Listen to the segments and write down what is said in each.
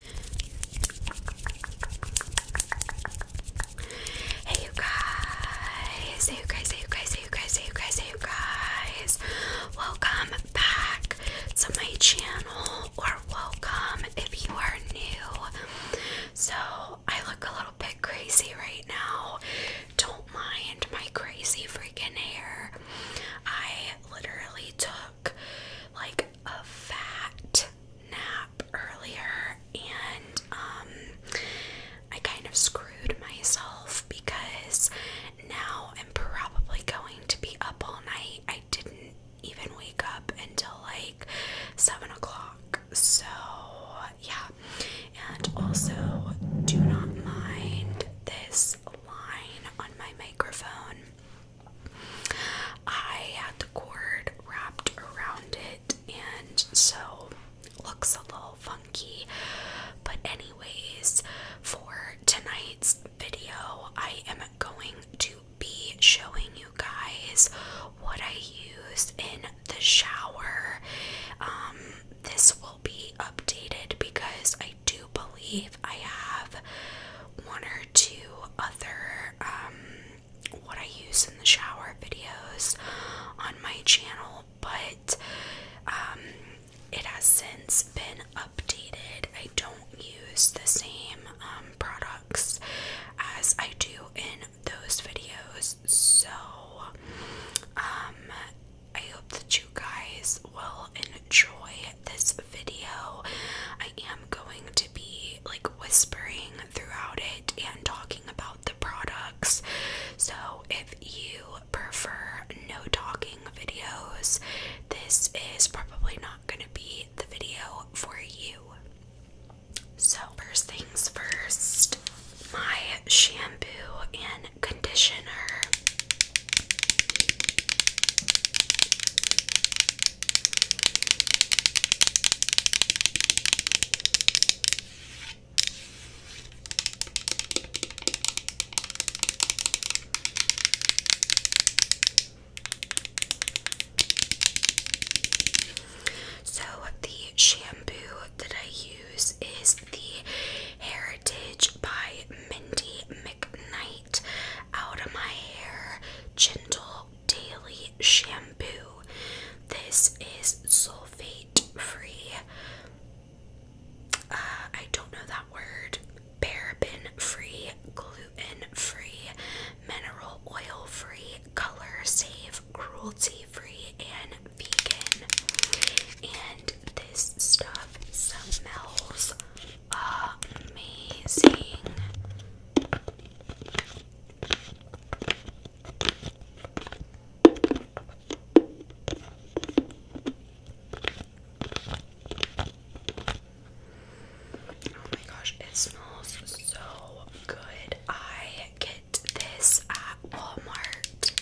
Hey you guys, hey you guys, hey you guys, hey you guys, hey you guys, Welcome back to my channel, or welcome if you are new. So, I look a little bit crazy right now. Don't mind my crazy freaking hair. I literally took like a fat nap earlier and um, I kind of screwed myself because now I'm probably going to be up all night. I didn't even wake up until like seven o'clock. So yeah. And also do not mind this line on my microphone. I had the cord wrapped around it, and so looks a little funky. But, anyways, for tonight's video, I am going to be showing you guys what I use in the shower. Um, this will be updated because I do believe I have one or two other um, what I use in the shower videos on my channel, but um, it has since been updated. I don't use the same um, products as I do in those videos, so um, I hope that you guys will enjoy this video, I am going to be like whispering throughout it and talking about the products. So, if you prefer no talking videos, this is probably not going to be the video for you. So, first things first, my shampoo and conditioner. So, the shampoo that I use is the Heritage by Mindy McKnight Out of My Hair Gentle Daily Shampoo. This is sulfate free. Uh, I don't know that word. Paraben free, gluten free, mineral oil free, color safe, cruelty free, and vegan. And this stuff smells amazing. Oh my gosh, it smells so good. I get this at Walmart.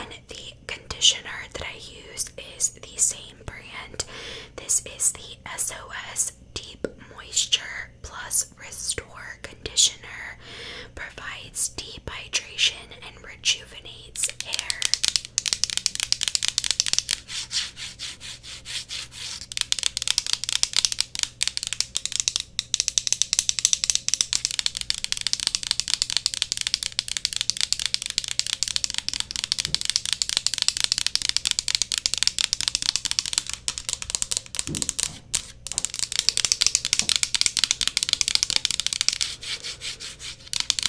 And then the conditioner that I use is the same brand. This is the SOS Deep Moisture Plus Restore Conditioner. Provides deep hydration rejuvenates hair.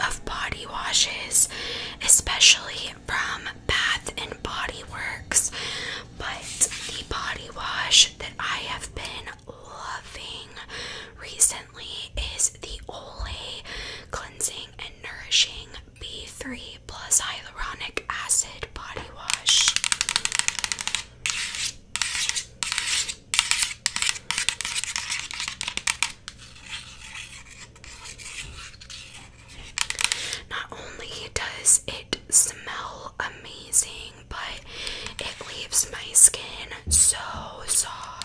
of body washes, especially from Bath and Body Works. But the body wash that I have been loving recently is the Olay Cleansing and Nourishing B3 Plus Hyaluronic Acid Body Wash. Not only does it smell amazing, but it leaves my skin so soft.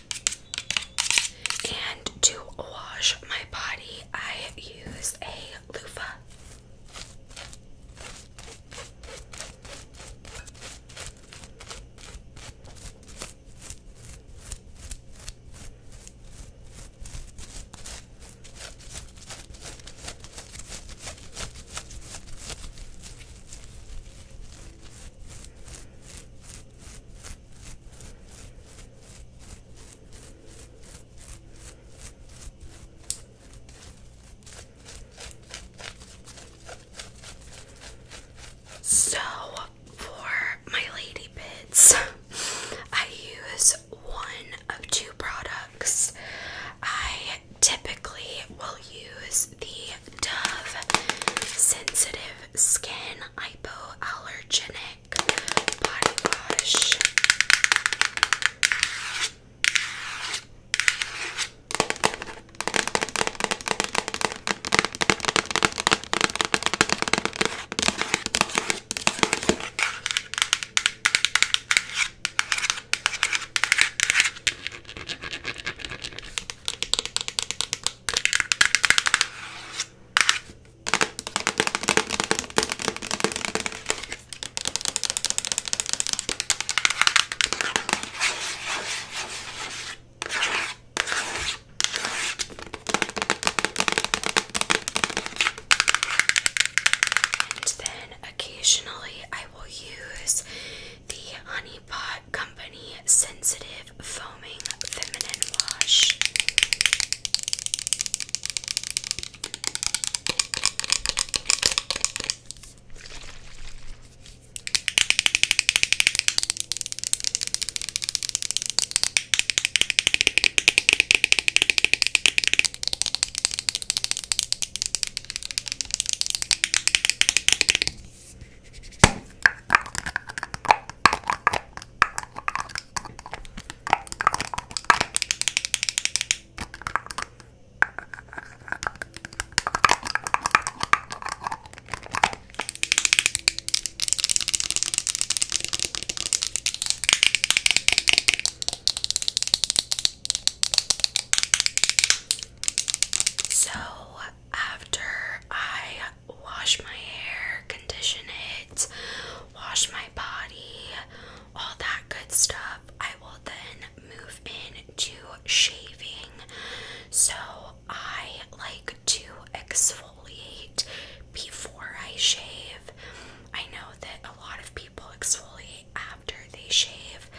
And to wash my body, I use a loofah. So, for my lady bits, I use one of two products. I typically will use the Dove Sensitive Skin Hypoallergenic Clinique body wash. And then occasionally I will use the Honey Pot Company Sensitive Foaming Feminine Wash. So, after I wash my hair, condition it, wash my body, all that good stuff, I will then move into shaving. So I like to exfoliate before I shave. I know that a lot of people exfoliate after they shave,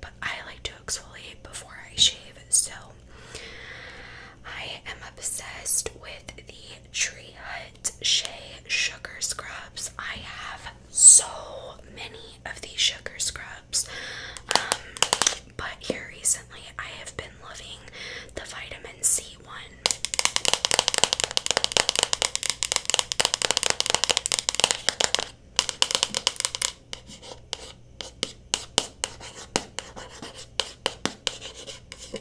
but I like to exfoliate before I shave. So I am obsessed with the Tree Hut Shea Sugar Scrubs. I have so many of these sugar scrubs. Um, but here recently, I have been loving the vitamin C one.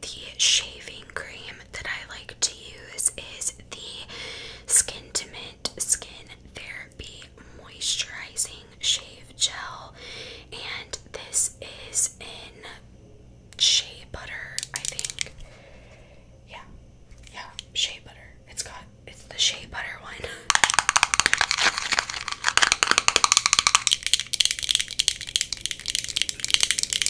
the shaving cream that I like to use is the Skin to Mint Skin Therapy Moisturizing Shave Gel, and this is in shea butter, I think. Yeah, yeah, shea butter. It's got it's the shea butter one.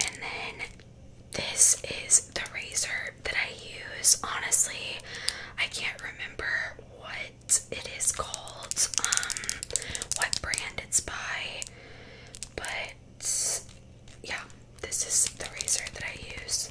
And then this is the razor that I use. Honestly, I can't remember what it is called um what brand it's by but yeah this is the razor that I use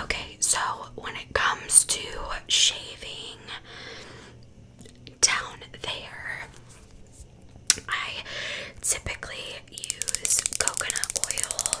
Okay, so when it comes to shaving down there, I typically use coconut oil.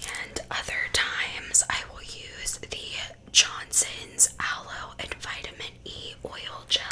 And other times I will use the Johnson's Aloe and Vitamin E Oil Gel.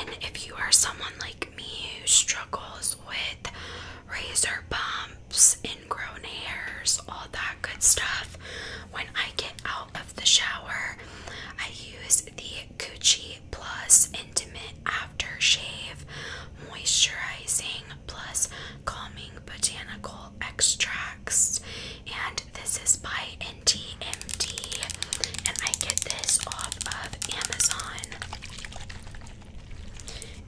And then, if you are someone like me who struggles with razor bumps, ingrown hairs, all that good stuff, when I get out of the shower, I use the Gucci Plus Intimate After Shave Moisturizing Plus Calming Botanical Extracts. And this is by NTMD. And I get this off of Amazon.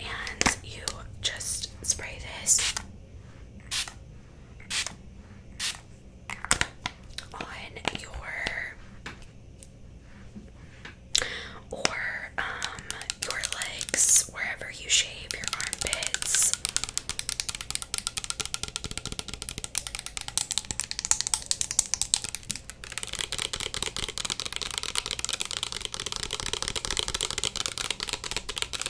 And you just spray this on your or um your legs wherever you shave your armpits.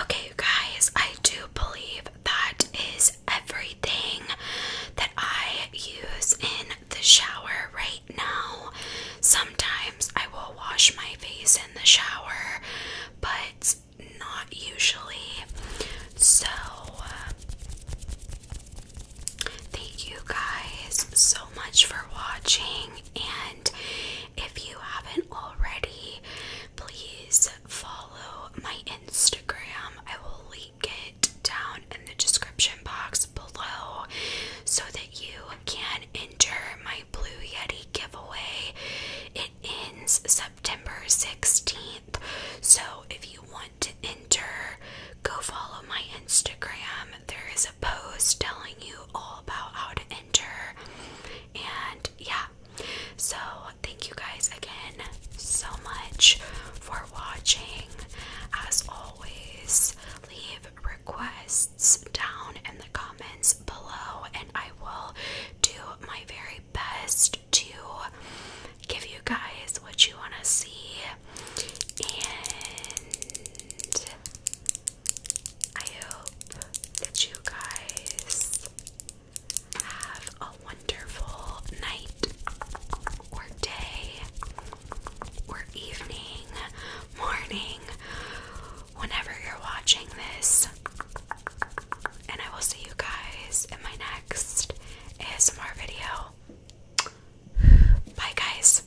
Okay, guys, I do believe that is everything that I use in the shower right now. Sometimes I will wash my face in the shower, but not usually. So, thank you guys so much for watching. And if you haven't already, please follow my Instagram. I will link it down in the description box below so that you can enter my Blue Yeti giveaway. It ends September 16th. So if you want to enter, go follow my Instagram there is a post telling you all about how to enter, and yeah. So, thank you guys again so much for watching. As always, leave requests down in the comments below, and I will do my very best to give you guys what you want to see. And I hope that you guys have a wonderful night or day or evening, morning, whenever you're watching this. And I will see you guys in my next ASMR video. Bye, guys.